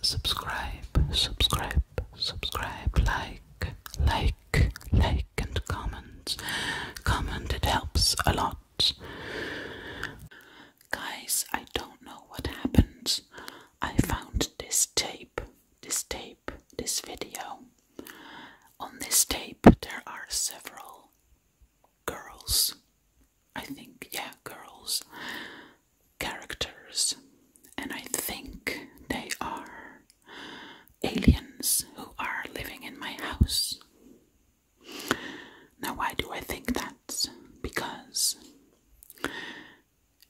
subscribe, subscribe, subscribe, like, like, like, and comment. Comment, it helps a lot. Guys, I don't know what happened. I found this tape, this tape, this video. On this tape, there are several girls. I think, yeah, girls characters, and I think they are aliens who are living in my house. Now, why do I think that? Because,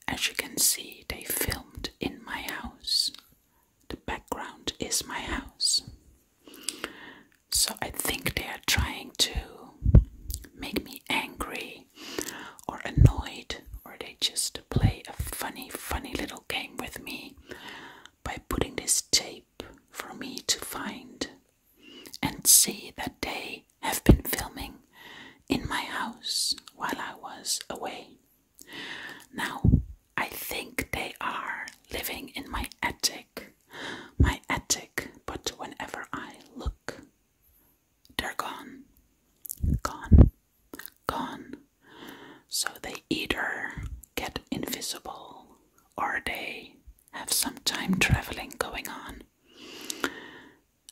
as you can see, they filmed in my house. The background is my house. So I think they are trying to make me angry or annoyed, or they just play a funny, funny little game with me by putting this tape for me to find and see that they have been filming in my house while I was away. Now, I think they are living in my attic, my attic, but whenever I look they're gone. Gone. Gone. So they either get invisible or they have some time traveling going on.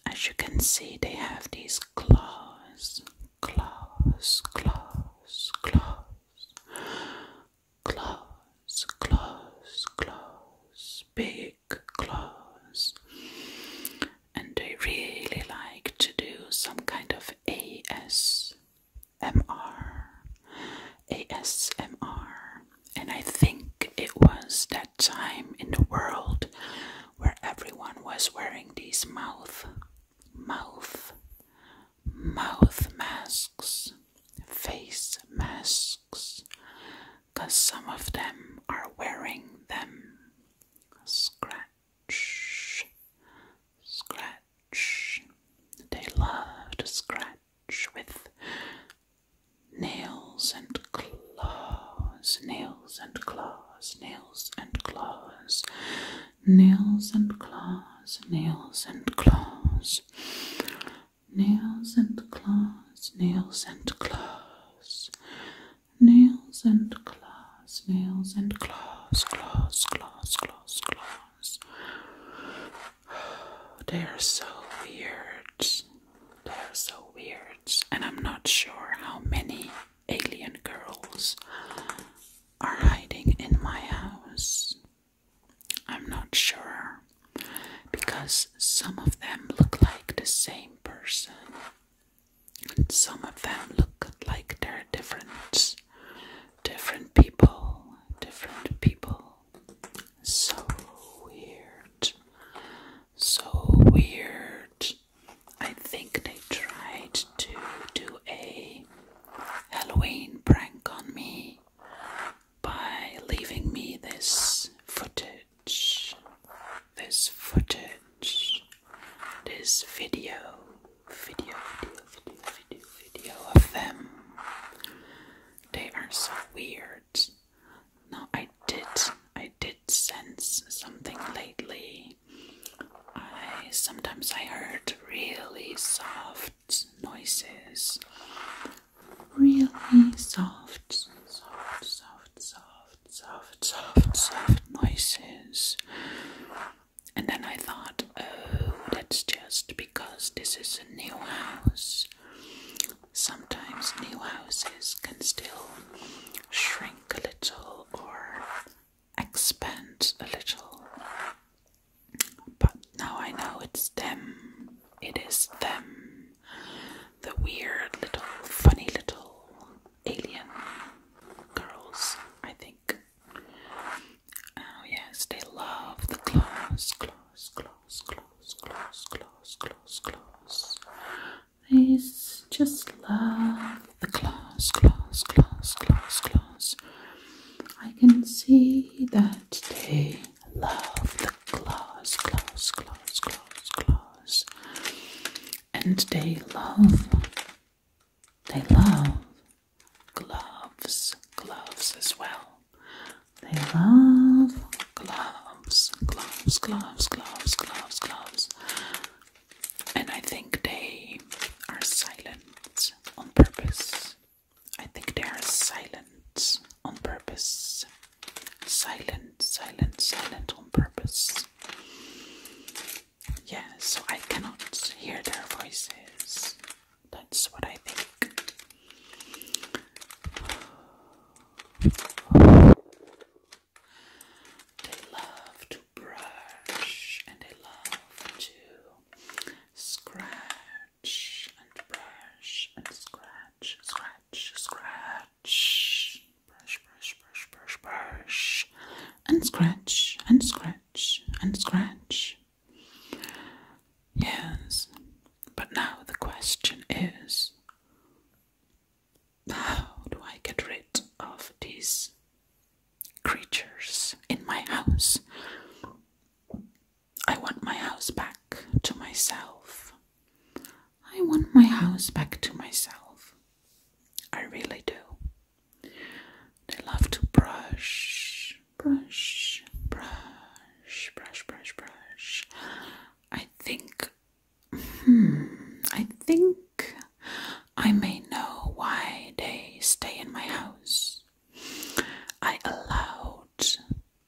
As you can see, they have these claws, claws, claws, claws, claws, claws, claws, big big claws. And they really like to do some kind of ASMR. ASMR. And I think it was that time in the world where everyone was wearing these mouth, mouth, mouth masks, face masks, because some of them are wearing them. Scratch, scratch. They love to scratch with nails and claws, nails and claws, nails and claws, nails and claws, nails and claws, nails and claws, nails and claws nails and claws, nails and claws, claws, claws, claws, claws. They are so weird. They are so weird, and I'm not sure how many alien girls are hiding in my house. I'm not sure because some of them look like the same person. And some of them look like they're different, different people, different people. So weird, so weird. I think they tried to do a Halloween prank on me by leaving me this footage footage, this footage, this video, video, video, video, video, video of them. They are so weird. Now I did, I did sense something lately. I sometimes I heard really soft noises, really soft, soft, soft soft, soft, soft, soft noises. And then I thought, oh, that's just because this is a new house. Sometimes new houses can still shrink a little or expand a little. But now I know it's them. It is them the weird little, funny little alien girls, I think. Oh, yes, they love the clothes, clothes, clothes, clothes, clothes, clothes, clothes, clothes. They just love the clothes, clothes, clothes, clothes, clothes. I can see that they love the clothes, clothes, clothes, clothes, clothes stars and they love they love gloves gloves as well they love gloves gloves gloves gloves gloves gloves and I think they are silent on purpose I think they are silent on purpose silent, silent, silent on purpose. Yeah, so I cannot hear their voices. That's what I think. They love to brush and they love to scratch and brush and scratch, scratch, scratch brush, brush, brush, brush, brush, and scratch, and scratch, and scratch. Yes, but now the question is how do I get rid of these creatures in my house? I want my house back to myself. I want my house back to myself. I really do. They love to brush, brush, brush, brush, brush, brush. I think, hmm, I think I may know why they stay in my house. I allowed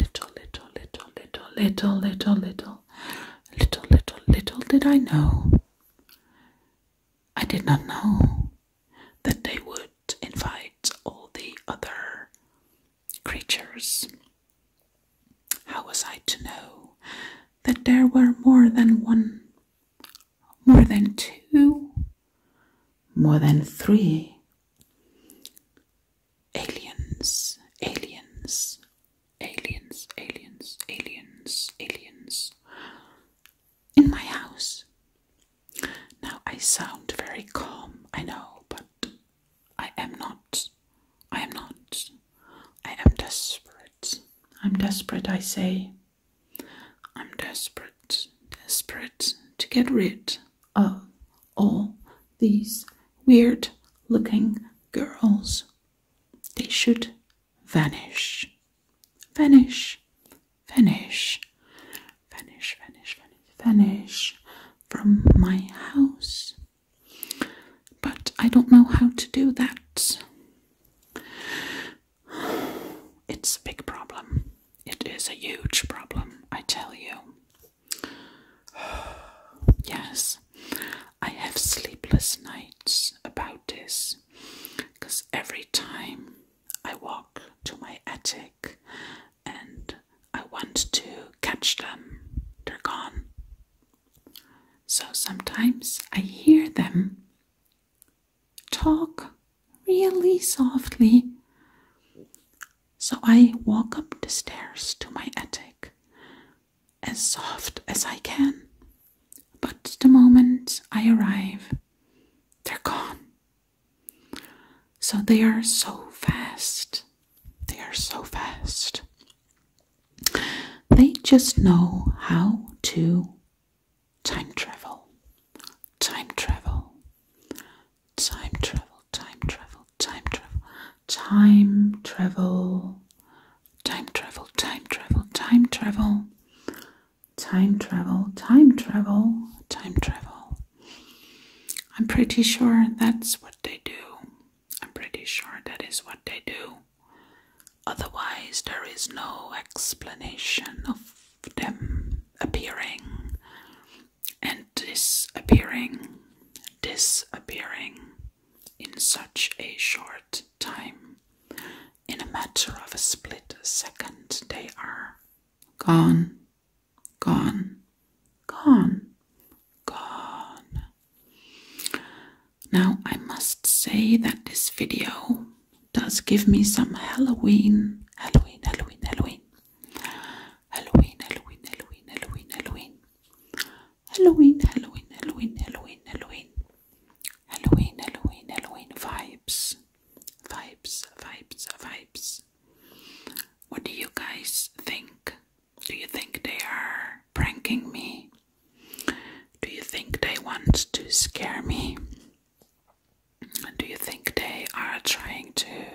Little, little, little, little, little, little, little, little, little, little did I know. I did not know that they would invite all the other creatures. How was I to know that there were more than one, more than two, more than three? aliens, aliens, aliens, aliens, aliens, aliens in my house. Now I sound very calm, I know, but I am not. I am not. I am desperate. I'm desperate, I say. I'm desperate, desperate to get rid of all these weird looking girls. They should vanish. Vanish, vanish, vanish, vanish, vanish, vanish from my house. But I don't know how to do that. It's a big problem. It is a huge problem, I tell you. yes, I have sleepless nights about this because every time I walk to my attic and I want to catch them, they're gone. So sometimes I hear them talk really softly. So I walk up the stairs to my attic as soft as I can. But the moment I arrive, they're gone. So they are so fast. They are so fast. They just know how to time travel. Time travel. Time travel time travel, time travel, time travel, time travel, time travel, time travel, time travel, time travel, I'm pretty sure that's what they do. I'm pretty sure that is what they do. Otherwise, there is no explanation of them appearing and disappearing, disappearing in such a short time. In a matter of a split second, they are gone, gone, gone, gone. Now, I must say that this video does give me some Halloween, Halloween, Halloween, Halloween, Halloween, Halloween, Halloween, Halloween, Halloween, Halloween, Halloween, Halloween, Halloween, Halloween, Halloween, Halloween, Halloween vibes, vibes, vibes, vibes. What do you guys think? Do you think they are pranking me? Do you think they want to scare me? Do you think they are trying to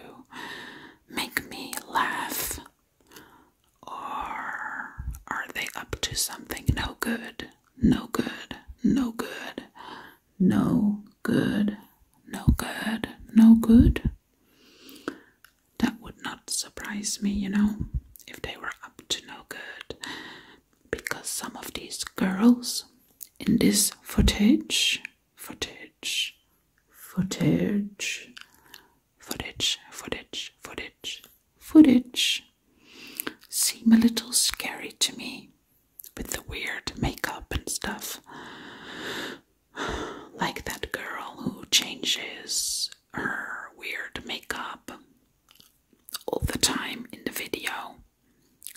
make me laugh? Or are they up to something no good, no good, no good, no good, no good, no good? That would not surprise me, you know, if they were up to no good. Because some of these girls in this footage, footage, footage, footage, footage, footage, footage seem a little scary to me with the weird makeup and stuff. Like that girl who changes her weird makeup all the time in the video.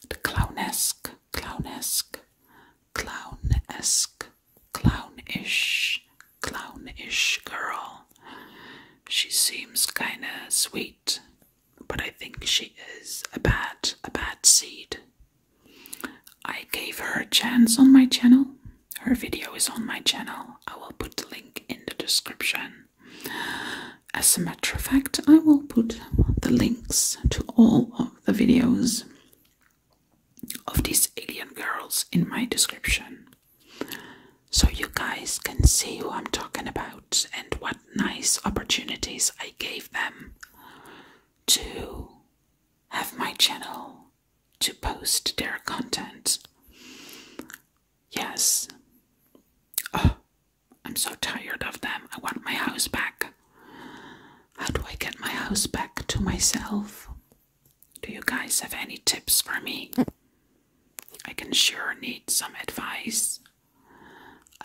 The clownesque, clownesque, clownesque clownish, clownish girl. She seems kinda sweet, but I think she is a bad, a bad seed. I gave her a chance on my channel. Her video is on my channel. I will put the link in the description. As a matter of fact, I will put the links to all of the videos of these alien girls in my description so you guys can see who I'm talking about and what nice opportunities I gave them to have my channel to post their content. Yes. Oh, I'm so tired of them. I want my house back. How do I get my house back to myself? Do you guys have any tips for me? I can sure need some advice.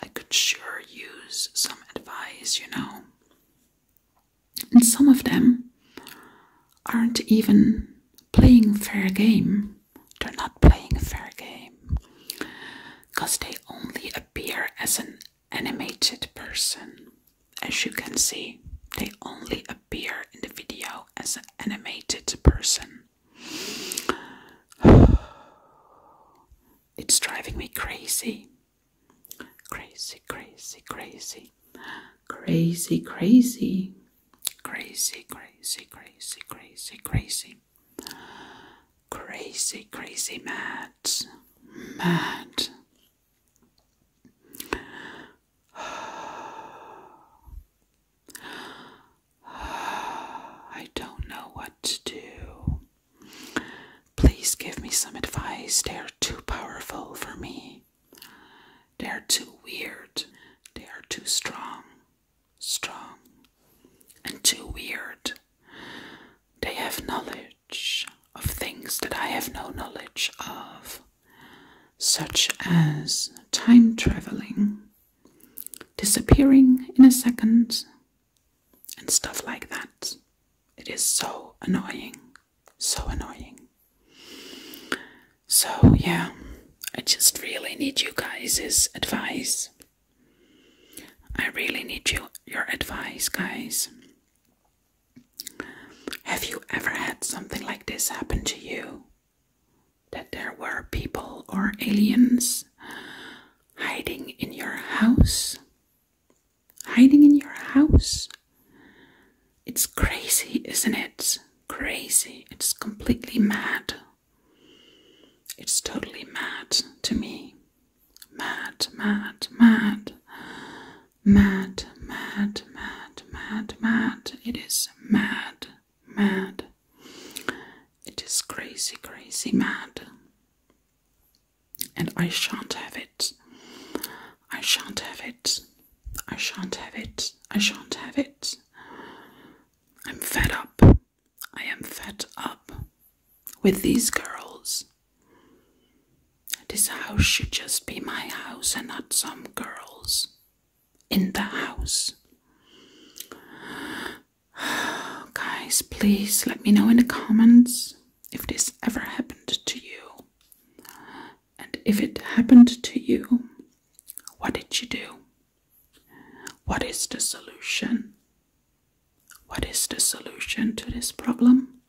I could sure use some advice, you know. And some of them aren't even playing fair game. They're not playing a fair game. Because they only appear as an animated person. As you can see, they only appear in the video as an animated person. It's driving me crazy. Crazy, crazy, crazy. Crazy, crazy. Crazy, crazy, crazy, crazy, crazy. Crazy, crazy mad. Mad. I don't know what to do. Please give me some advice. They are too powerful for me. They are too weird. They are too strong. Strong. And too weird. They have knowledge of things that I have no knowledge of, such as time traveling, disappearing in a second, and stuff like that. It is so annoying, so annoying. So, yeah, I just really need you guys' advice. I really need you, your advice, guys. Have you ever had something like this happen to you? That there were people or aliens hiding in your house? Hiding in your house? It's crazy, isn't it? Crazy. It's completely mad. It's totally mad to me. Mad, mad, mad mad, mad, mad, mad, mad. It is mad, mad. It is crazy, crazy mad. And I shan't have it. I shan't have it. I shan't have it. I shan't have it. I'm fed up. I am fed up with these girls. This house should just be my house and not some girls in the house. Guys, please let me know in the comments if this ever happened to you. And if it happened to you, what did you do? What is the solution? What is the solution to this problem?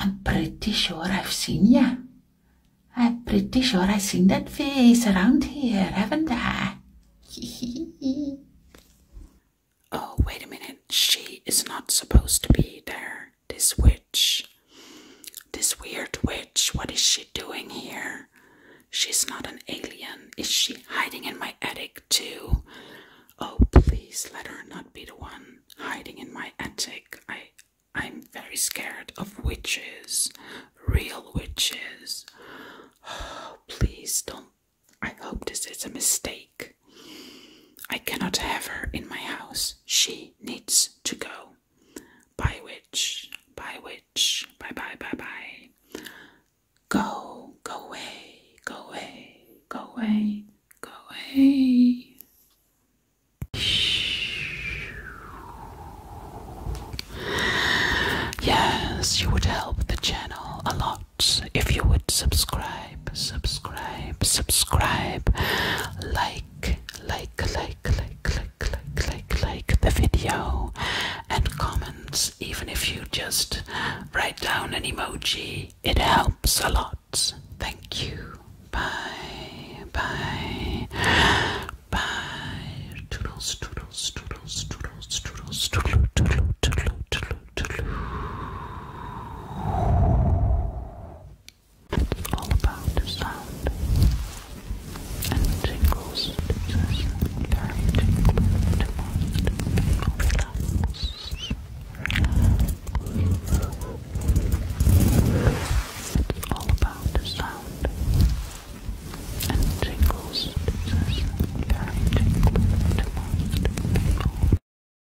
I'm pretty sure I've seen ya. I'm pretty sure I've seen that face around here, haven't I? oh, wait a minute. She is not supposed to be there. This witch. This weird witch. What is she doing here? She's not an alien. Is she hiding in my attic too? Oh, please let her not be the one hiding in my attic. I I'm very scared of witches, real witches. Oh, please don't. I hope this is a mistake. I cannot have her in my house. She needs to go. By which, by which, bye bye bye bye. Go, go away, go away, go away, go away. Yes, you would help the channel a lot if you would subscribe subscribe, subscribe, like, like, like, like, like, like, like, the video, and comments. Even if you just write down an emoji, it helps a lot. Thank you. Bye, bye, bye. Toodles, toodles, toodles, toodles, toodles, toodles, toodles, toodles, toodles. All about the sound and tingles. Just very tingling to most people. Relax. Relax. It's all about the sound and tingles. Just very tingling to most people.